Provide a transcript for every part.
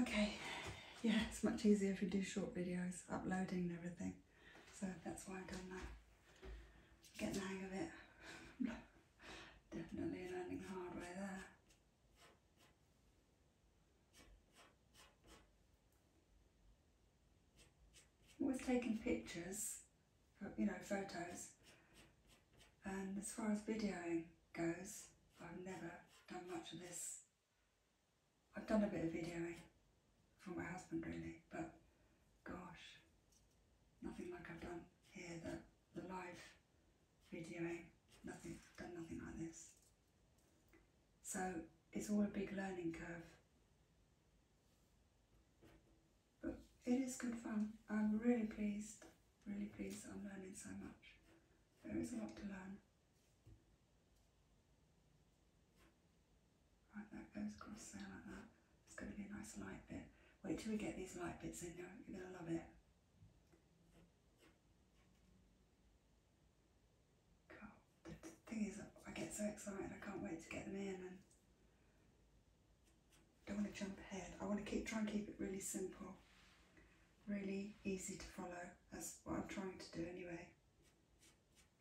Okay, yeah, it's much easier if you do short videos, uploading and everything. So that's why I've done that. Getting the hang of it. Definitely learning the hard way there. Always taking pictures you know, photos. And as far as videoing goes, I've never done much of this. I've done a bit of videoing for my husband really, but gosh, nothing like I've done here, the, the live videoing, nothing, done nothing like this. So it's all a big learning curve. But it is good fun. I'm really pleased, really pleased I'm learning so much. There is a lot to learn. Right, that goes across there like that. It's going to be a nice light bit. Wait till we get these light bits in there, you're going to love it. God, the thing is, I get so excited, I can't wait to get them in don't want to jump ahead. I want to keep try and keep it really simple, really easy to follow. That's what I'm trying to do anyway.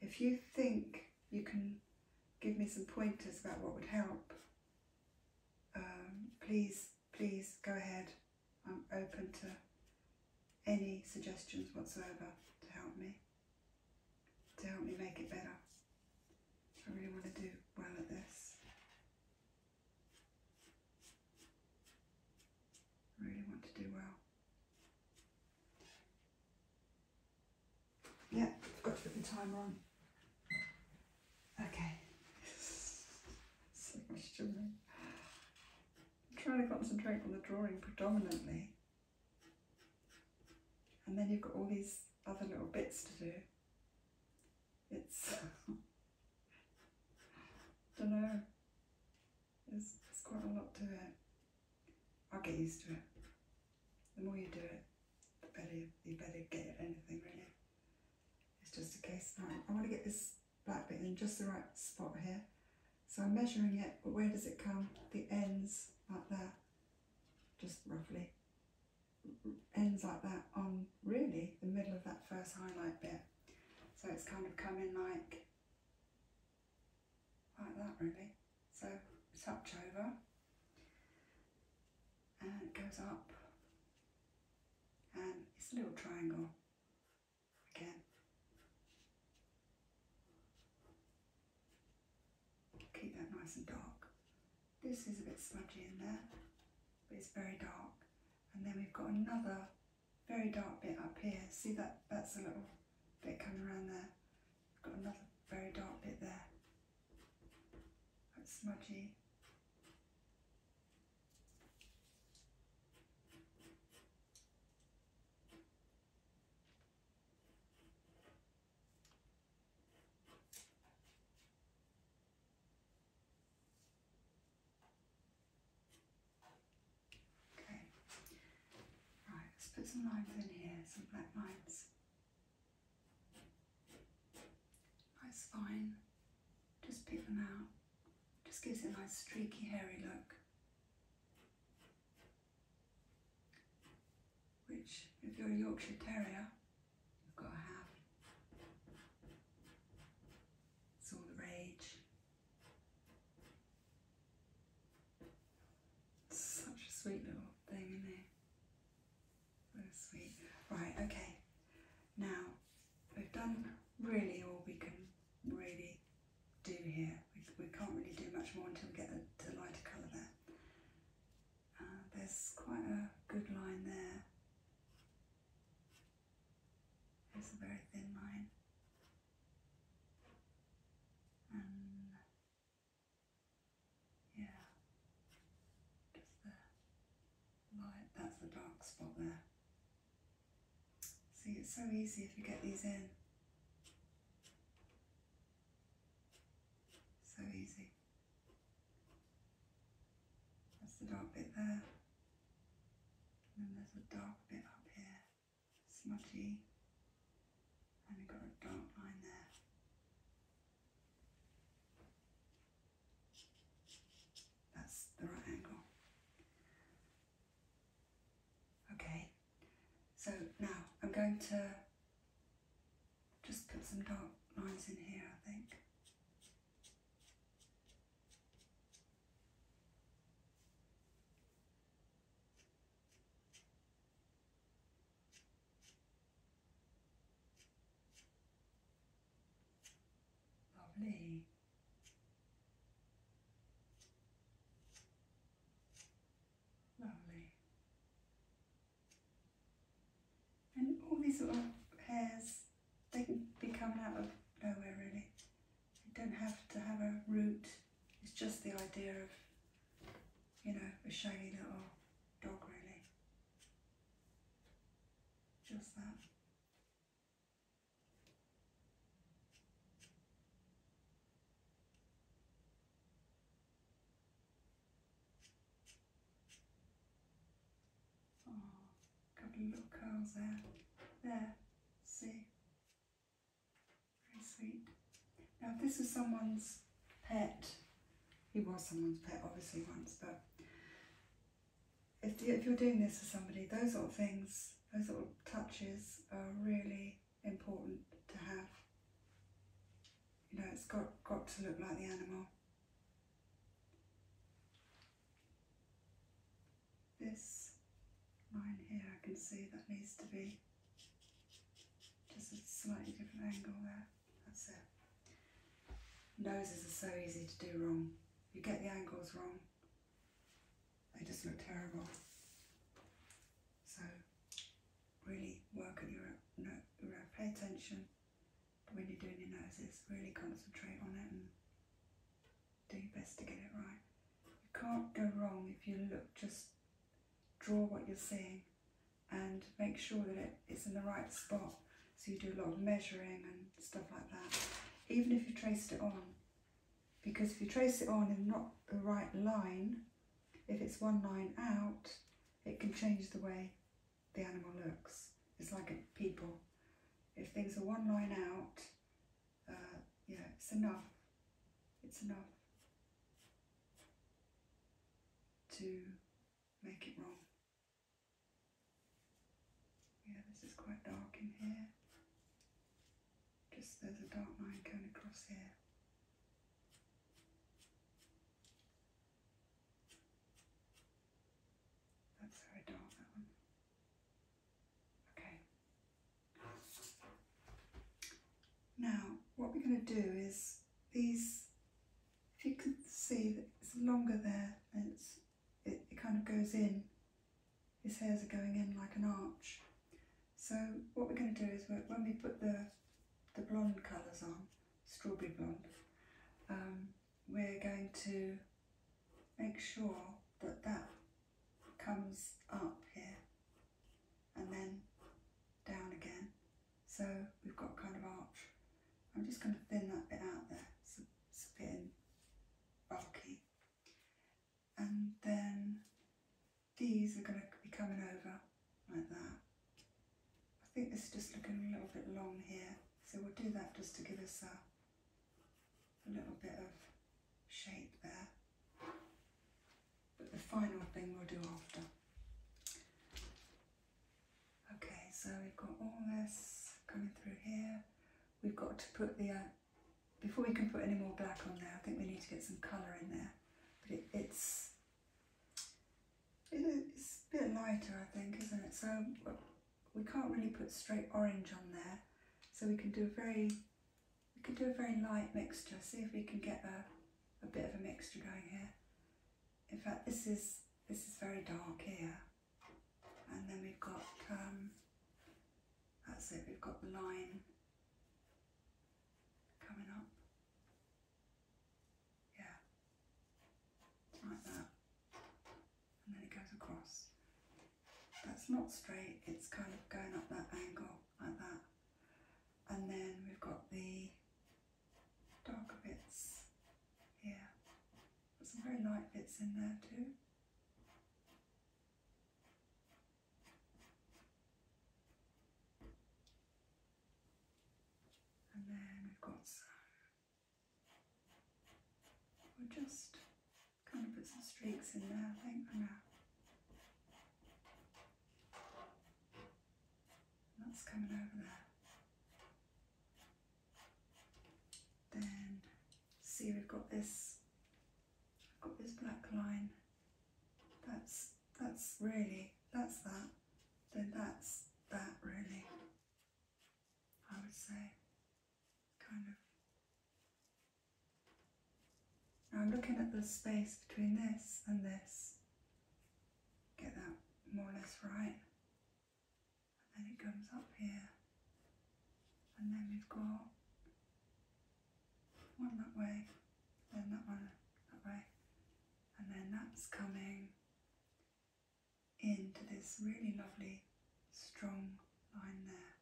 If you think you can give me some pointers about what would help, um, please, please go ahead. I'm open to any suggestions whatsoever to help me, to help me make it better. I really want to do well at this. I really want to do well. Yeah, I've got to put the timer on. Okay. so much juggling. i trying to concentrate on the drawing predominantly. And then you've got all these other little bits to do it's don't know. There's, quite a lot to it. I'll get used to it. The more you do it, the better you better get at anything really. It's just a case now. I want to get this black bit in just the right spot here. So I'm measuring it, but where does it come? The ends like that, just roughly ends like that on um, really the middle of that first highlight bit. So it's kind of coming like, like that really. So touch over and it goes up and it's a little triangle again. Keep that nice and dark. This is a bit smudgy in there, but it's very dark. And then we've got another very dark bit up here. See that? That's a little bit coming around there. got another very dark bit there. That's smudgy. Okay, right, let's put some lines in here, some black lines. Nice fine, just pick them out, just gives it a nice streaky hairy look. Which, if you're a Yorkshire Terrier, You've got to have. It's all the rage. Such a sweet little thing, in there. it? sweet. Right, okay. Now, we've done really all we can really do here. We, can't really do much more until we get the lighter colour there. Uh, there's quite a good line there. It's a very thin line. And yeah, just the light, that's the dark spot there. See, it's so easy if you get these in. So easy. That's the dark bit there. And then there's a dark bit up here, smudgy. And we've got a dark line there. That's the right angle. Okay, so now I'm going to just put some dark lines in here, I think. Lovely. Lovely. And all these sort of hairs, they can be coming out of nowhere really. You don't have to have a root. It's just the idea of, you know, a shiny little dog really. Just that. Oh, couple little curls there. There, see? Very sweet. Now, if this is someone's pet, he was someone's pet obviously once, but if, if you're doing this for somebody, those little things, those little touches are really important to have. You know, it's got, got to look like the animal. This line here, I can see that needs to be just a slightly different angle there. That's it. Noses are so easy to do wrong. You get the angles wrong, they just look terrible. So really work at your, no, pay attention when you're doing your noses, really concentrate on it and do your best to get it right. You can't go wrong if you look, just draw what you're seeing and make sure that it's in the right spot. So you do a lot of measuring and stuff like that. Even if you traced it on, because if you trace it on in not the right line, if it's one line out, it can change the way the animal looks. It's like people. If things are one line out, yeah, uh, it's enough. It's enough to make it wrong. Yeah, this is quite dark in here. Just there's a dark line going across here. That's very dull, that one. Okay. Now, what we're going to do is these, if you can see it's longer there, it's, it, kind of goes in. His hairs are going in like an arch. So what we're going to do is when we put the, the blonde colours on, strawberry blonde, um, we're going to make sure that that comes up here and then down again. So we've got kind of arch. I'm just going to thin that bit out there. It's a, it's a bit bulky. And then these are going to be coming over like that. I think it's just looking a little bit long here, so we'll do that just to give us a, little bit of shape there. But the final thing we'll do after. Okay, so we've got all this coming through here. We've got to put the, uh, before we can put any more black on there, I think we need to get some colour in there. But it's it's a bit lighter, I think, isn't it? So uh, we can't really put straight orange on there. So we can do a very, we can do a very light mixture. See if we can get a, a bit of a mixture going here. In fact, this is, this is very dark here. And then we've got, um, that's it, we've got the line coming up. Yeah. Like that. And then it goes across. That's not straight, it's kind of going up that angle like that. And then we've got the darker bits Yeah, Got some very light bits in there too. And then we've got some We'll just kind of put some streaks in there, I think, for now. that's coming over there. Then, see we've got this, I've got this black line. That's, that's really, that's that. Then that's that really. I would say, kind of. Now I'm looking at the space between this and this. Get that more or less right. And then it comes up here. And then we've got one that way, then that one that way. And then that's coming into this really lovely strong line there.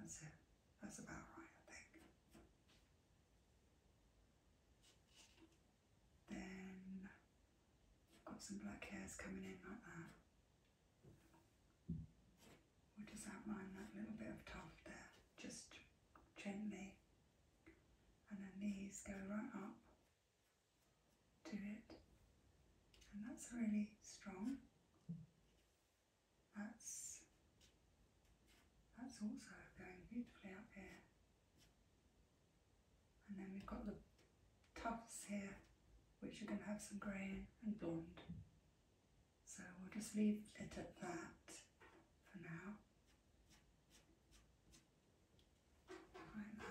That's it. That's about right, I think. Then I've got some black hairs coming in like that. We'll just outline that little bit of tuft there, just gently. And then these go right up to it. And that's really strong. That's, that's also going beautifully up here. And then we've got the tufts here, which are going to have some grey and blonde. So we'll just leave it at that for now like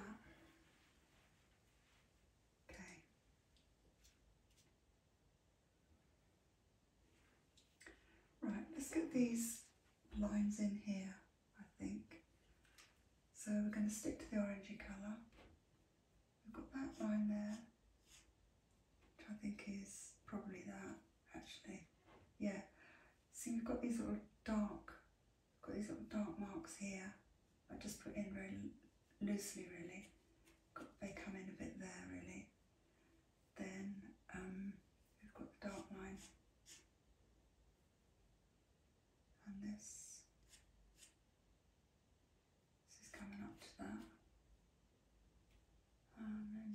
Okay. Right, let's get these lines in here, I think. So we're going to stick to the orangey colour. We've got that line there, which I think is probably that, actually. Yeah. See, we've got these little dark Got these little dark marks here. I just put in really loosely really. they come in a bit there really. Then um, we've got the dark line and this. This is coming up to that. And then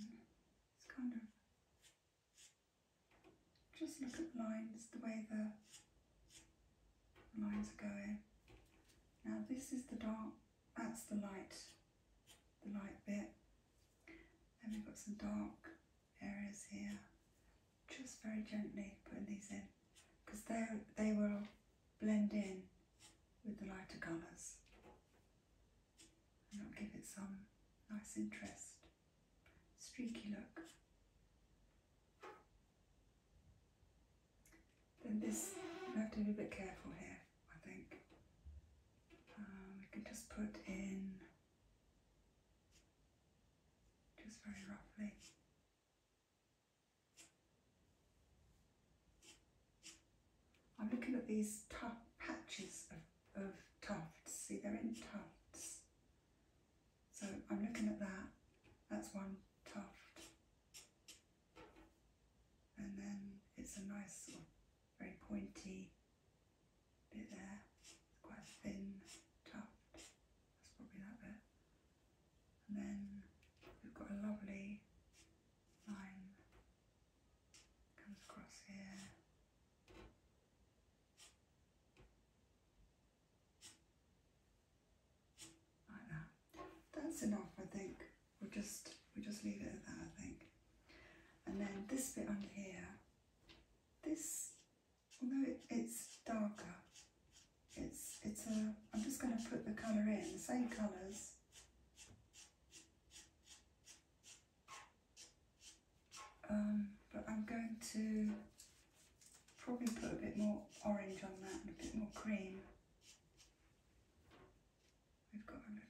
it's kind of just look at the lines, the way the lines are going. Now this is the dark, that's the light, the light bit. And we've got some dark areas here. Just very gently putting these in because they, they will blend in with the lighter colours and give it some nice interest streaky look. Then this, we have to be a bit careful here, I think. we um, can just put in, just very roughly. I'm looking at these tough patches of, of tufts. See, they're in tufts. So I'm looking at that, that's one tuft. And then it's a nice sort very pointy bit there, it's quite thin tuft, that's probably that bit. And then we've got a lovely line comes across here. That's enough, I think. We'll just we just leave it at that, I think. And then this bit under here, this although it's darker, it's it's a I'm just gonna put the colour in, the same colours. Um, but I'm going to Probably put a bit more orange on that and a bit more cream. We've got a little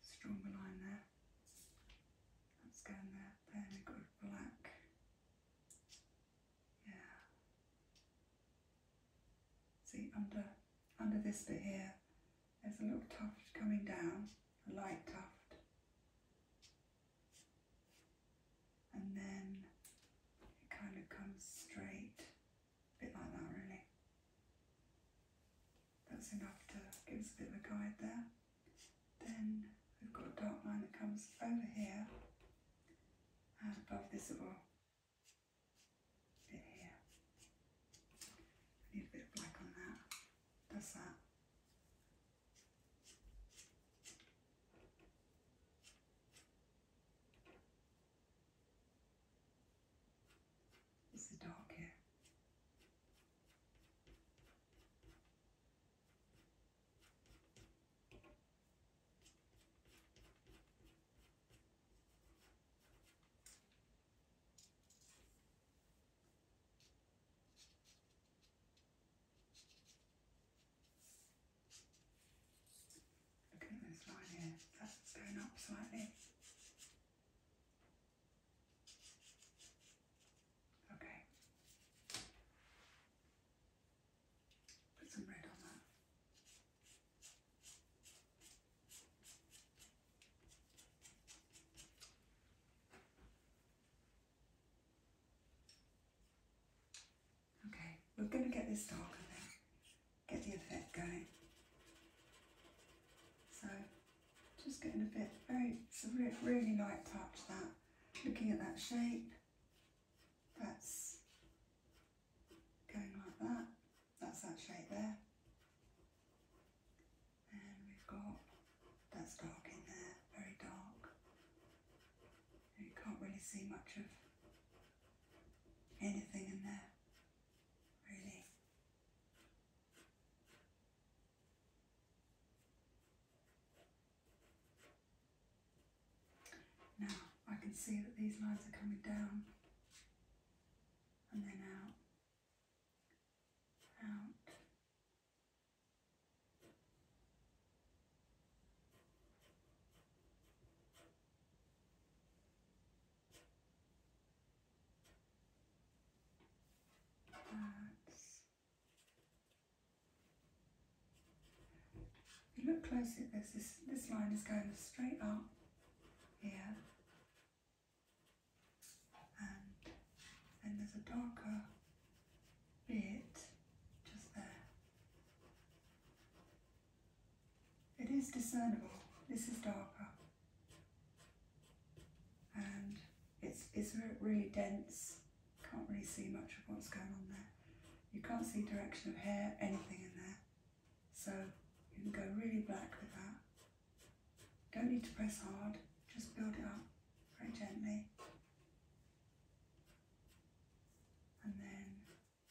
stronger line there. That's going there. Then we've got black. Yeah. See under under this bit here, there's a little tuft coming down, a light tuft. And then it kind of comes straight, a bit like that really. That's enough to give us a bit of a guide there. Then we've got a dark line that comes over here and above this little bit here. I need a bit of black on that. That's that. It's the dark here. Okay, there's one here. That's going up slightly. Okay. Put some red on that. Okay, we're going to get this darker now, get the effect going. So, just getting a bit, very, really light touch that, looking at that shape, that's going like that. That's that shape there. And we've got, that's dark in there, very dark. you can't really see much of anything in there, really. Now, I can see that these lines are coming down and then out, out. That's. If you look closely at this, this, this line is going straight up here um, and then there's a darker bit just there. It is discernible. This is darker. And it's, it's really dense. Can't really see much of what's going on there. You can't see direction of hair, anything in there. So you can go really black with that. Don't need to press hard, just build it up very gently. And then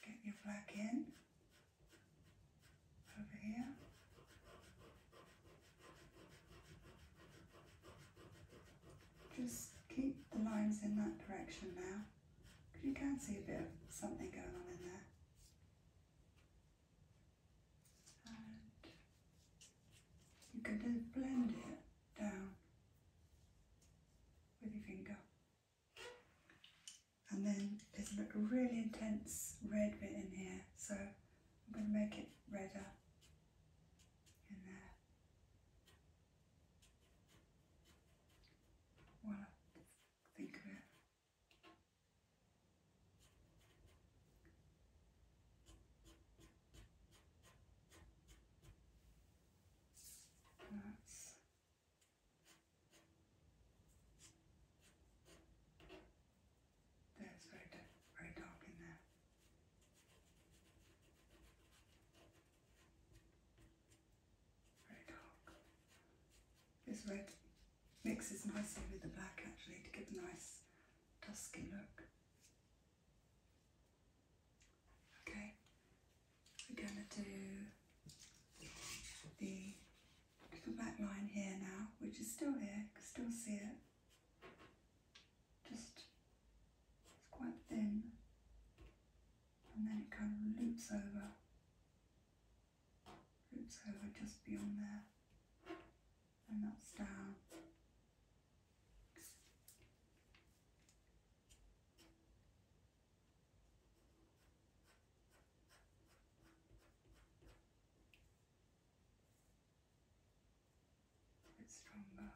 get your black in over here. Just keep the lines in that direction now, because you can see a bit of something going on in there and you can then blend it down with your finger. And then there's a really intense red bit in here, so I'm going to make it redder in there. While think of it. That's that's right, right up in there. Right up. This red mixes nicely with the black actually to give a nice dusky look. Okay, we're going to do the little black line here now, which is still here, you can still see it. Just it's quite thin, and then it kind of loops over it's over just beyond there, and that's down. It's stronger.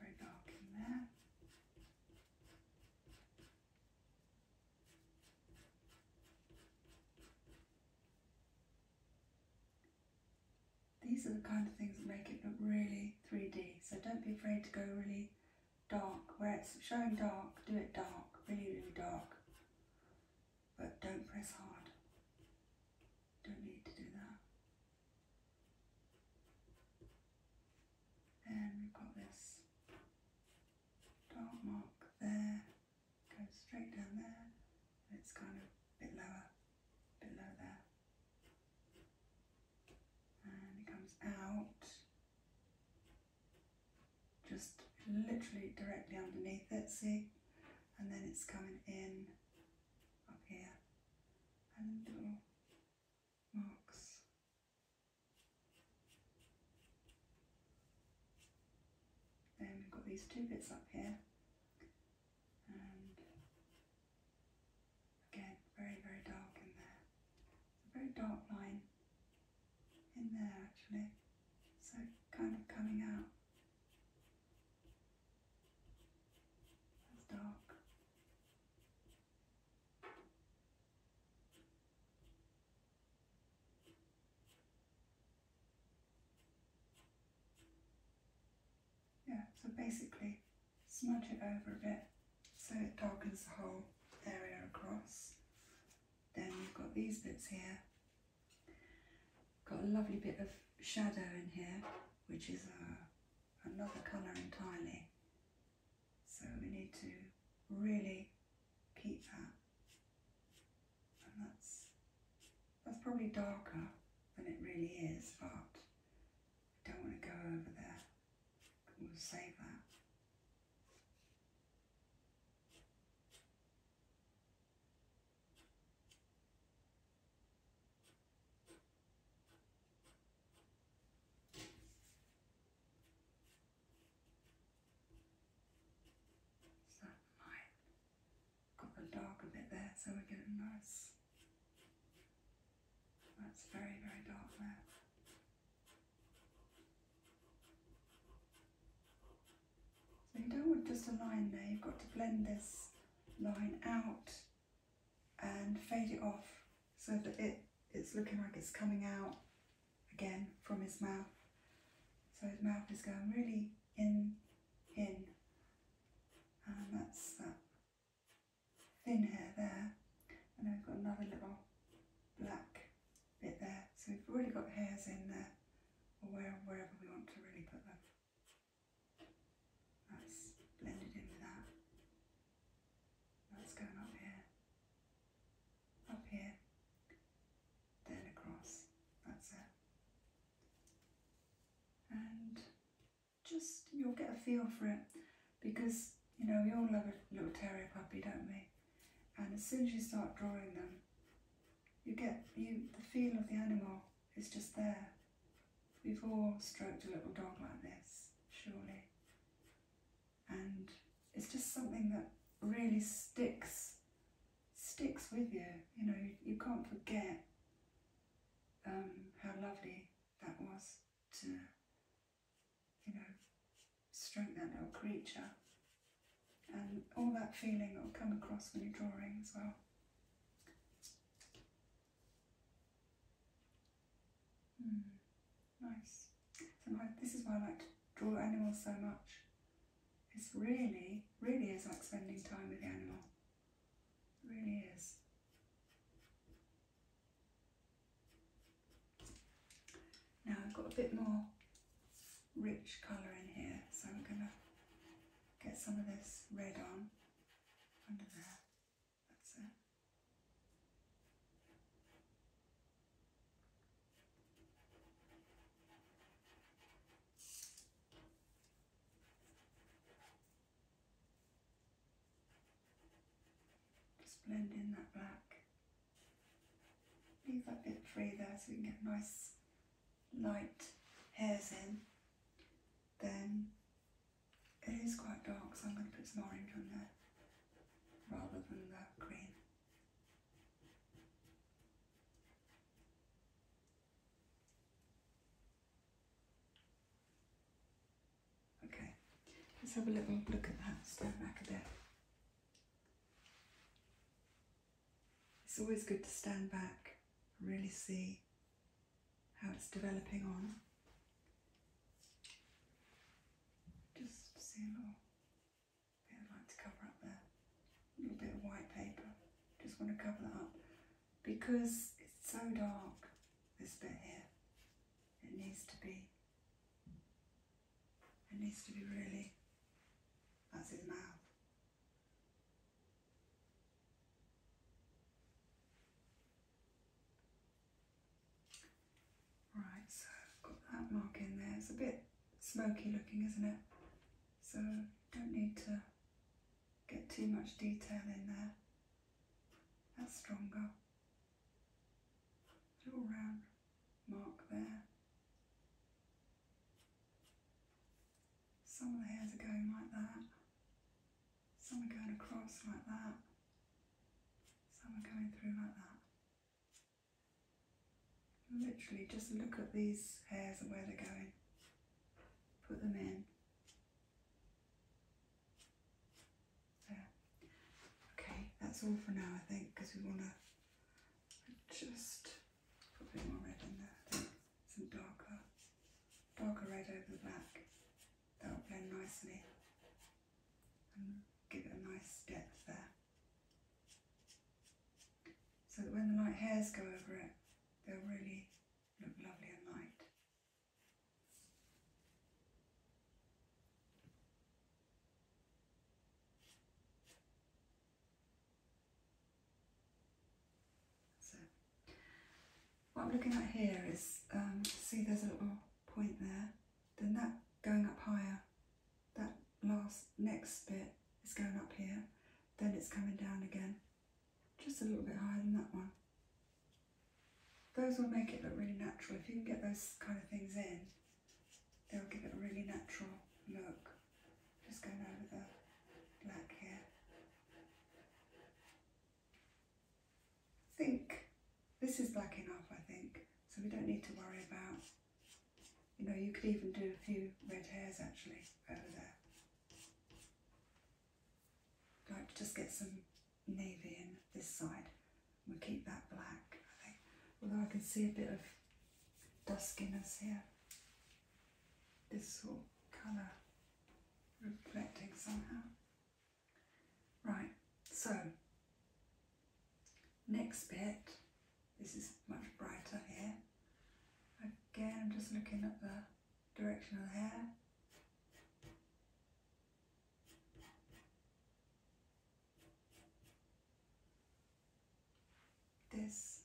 Right back in These are the kind of things that make it look really 3D, so don't be afraid to go really dark, where it's showing dark, do it dark, really, really dark. But don't press hard. Don't need to do that. Then we've got this dark mark there, goes straight down there, it's kind of a bit lower, a bit lower there and it comes out just literally directly underneath it, see? And then it's coming in up here and little marks. Then we've got these two bits up here and Again, very, very dark in there. It's a very dark line in there actually. So kind of coming out. That's dark. Yeah, so basically smudge it over a bit so it darkens the whole area across. Then we have got these bits here. Got a lovely bit of shadow in here, which is a, uh, another colour entirely. So we need to really keep that. And that's, that's probably darker than it really is, but I don't want to go over there. We'll save that. So i got the dark a bit there so we get a nice that's very, very dark there. So you don't want just a line there, you've got to blend this line out and fade it off so that it, it's looking like it's coming out again from his mouth. So his mouth is going really in, in. And that's that thin hair there, and then we've got another little black bit there. So we've already got hairs in there, or where, wherever we want to really put them. That's blended in with that. That's going up here, up here, then across. That's it. And just you'll get a feel for it because you know we all love a little terrier puppy, don't we? And as soon as you start drawing them, you get you the feel of the animal is just there. We've all stroked a little dog like this, surely, and it's just something that really sticks sticks with you. You know, you, can't forget um, how lovely that was to you know, stroke that little creature. And all that feeling that will come across when you're drawing as well. Hmm, nice. And this is why I like to draw animals so much. It's really, really is like spending time with the animal. really is. Now I've got a bit more rich colour in here, so I'm going to get some of this red on under there. That's it. Just blend in that black. Leave that bit free there so we can get nice light hairs in. Then it is quite dark, so I'm going to put some orange on there rather than that green. Okay, let's have a little look at that Stand back a bit. It's always good to stand back and really see how it's developing on. Just see a little bit of light to cover up there, a little bit of white paper. Just want to cover that up because it's so dark, this bit here. It needs to be it needs to be really, that's his mouth. Right, so I've got that mark in there. It's a bit smoky looking, isn't it? So don't need to get too much detail in there. That's stronger little round mark there. Some of the hairs are going like that, some are going across like that, some are going through like that. Literally just look at these hairs and where they're going. Put them in. Okay, that's all for now, I think, because we want to just put a bit more red in there. Some darker, darker red over the back. That'll blend nicely and give it a nice depth there. So that when the light hairs go over it, they'll really look lovely and light. So what I'm looking at here is, um, see there's a little point there, then that going up higher, that last next bit is going up here, then it's coming down again, just a little bit higher than that one. Those will make it look really natural. If you can get those kind of things in, they'll give it a really natural look. Just going over the black here. I think this is black enough, I think, so we don't need to worry about, you know, you could even do a few red hairs actually over there. like just get some navy in this side. We'll keep that black, Although I can see a bit of duskiness here. This sort of colour reflecting somehow. Right, so next bit, this is much brighter here. Again, I'm just looking at the direction of the hair. This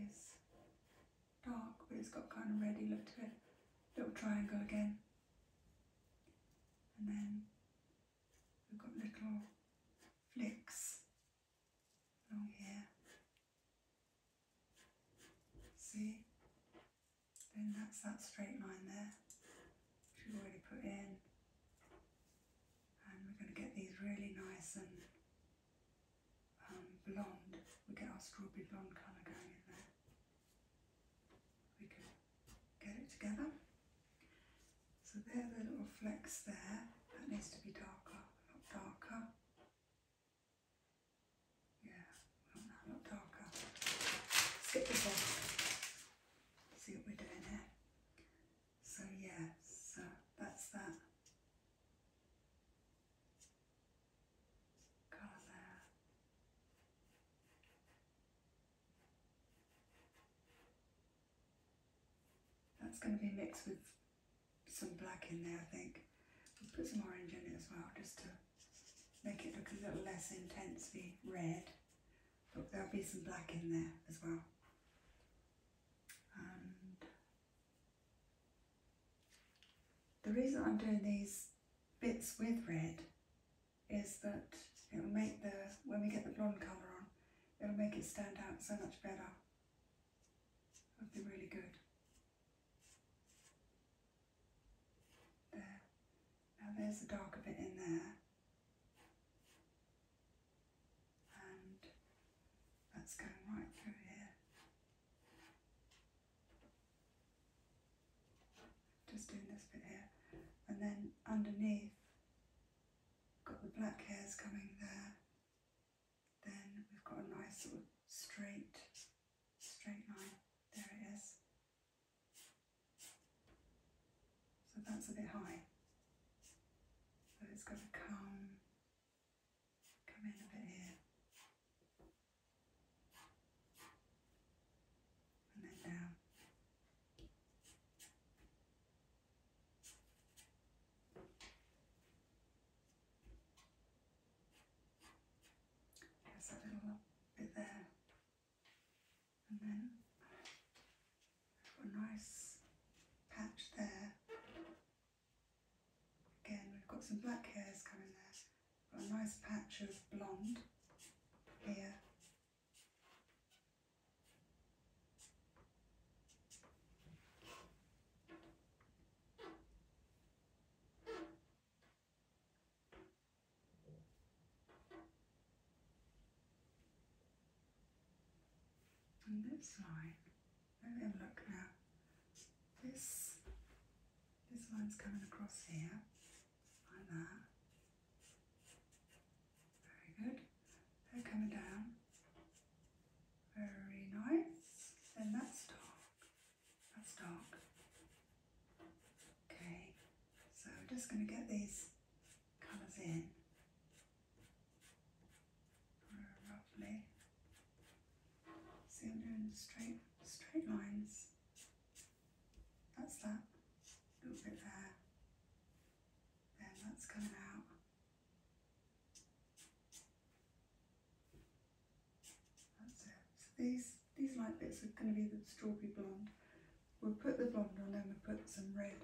is dark, but it's got kind of ready look to it. Little triangle again. And then we've got little flicks along here. See? Then that's that straight line there, which we've already put in. And we're going to get these really nice and um, blonde. we get our strawberry blonde kind of going in there. We can get it together. So there's a little flex there. That needs to be darker, a darker. Yeah, well, no, darker. let this See what we're doing here. So yeah, so that's that. Colour That's going to be mixed with some black in there, I think. put some orange in it as well, just to make it look a little less intensely red. But there'll be some black in there as well. And the reason I'm doing these bits with red is that it'll make the, when we get the blonde colour on, it'll make it stand out so much better. It'll be really good. There. Now there's the darker bit in there. And that's going right through here. Just doing this bit here. And then underneath, got the black hairs coming there. Then we've got a nice sort of straight, straight line. There it is. So that's a bit high. So it's going to come, come in a bit here. And then down. There's a little bit there and then a nice patch there. Again, we've got some black hairs coming there. Got a nice patch of blonde here. And this line, look now. This this line's coming across here, like that. Very good. They're coming down. Very nice. Then that's dark. That's dark. Okay, so I'm just going to get these colours in roughly. See, I'm doing straight, straight lines. That's that little bit there. Then that's coming out. That's it. these these light bits are going to be the strawberry blonde. We'll put the blonde on and we'll put some red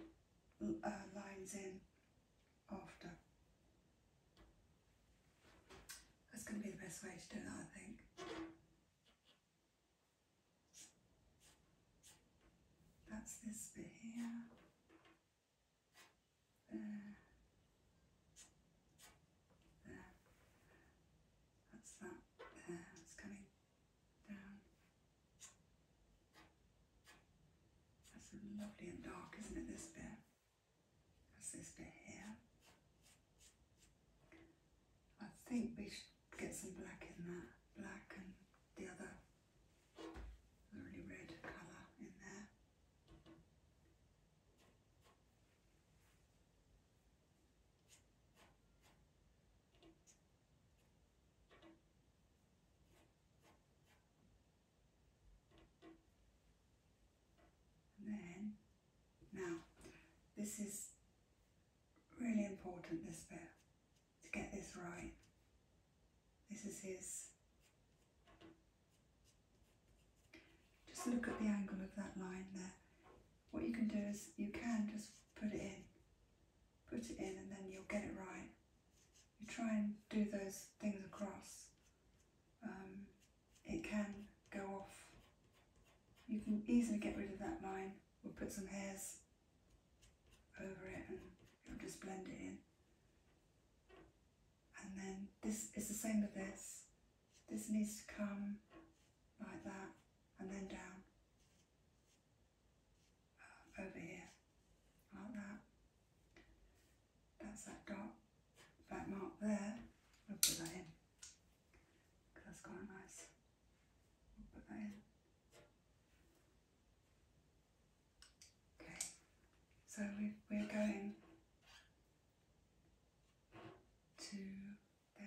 uh, lines in after. That's going to be the best way to do that, I think. That's this bit here. There. There. That's that. There. It's coming that's lovely and dark, isn't it, this bit? this bit here. I think we should get some black in there, black and the other really red colour in there. And then, now, this is really important, this bit, to get this right. This is his. Just look at the angle of that line there what you can do is you can just put it in, put it in, and then you'll get it right. You try and do those things across. Um, it can go off. You can easily get rid of that line. We'll put some hairs over it and it'll just blend it in. And then this is the same as this. This needs to come like that, and then down uh, over here, like that. That's that dot, that mark there. We'll put that in because that's quite nice. We'll put that in. Okay, so we, we're going to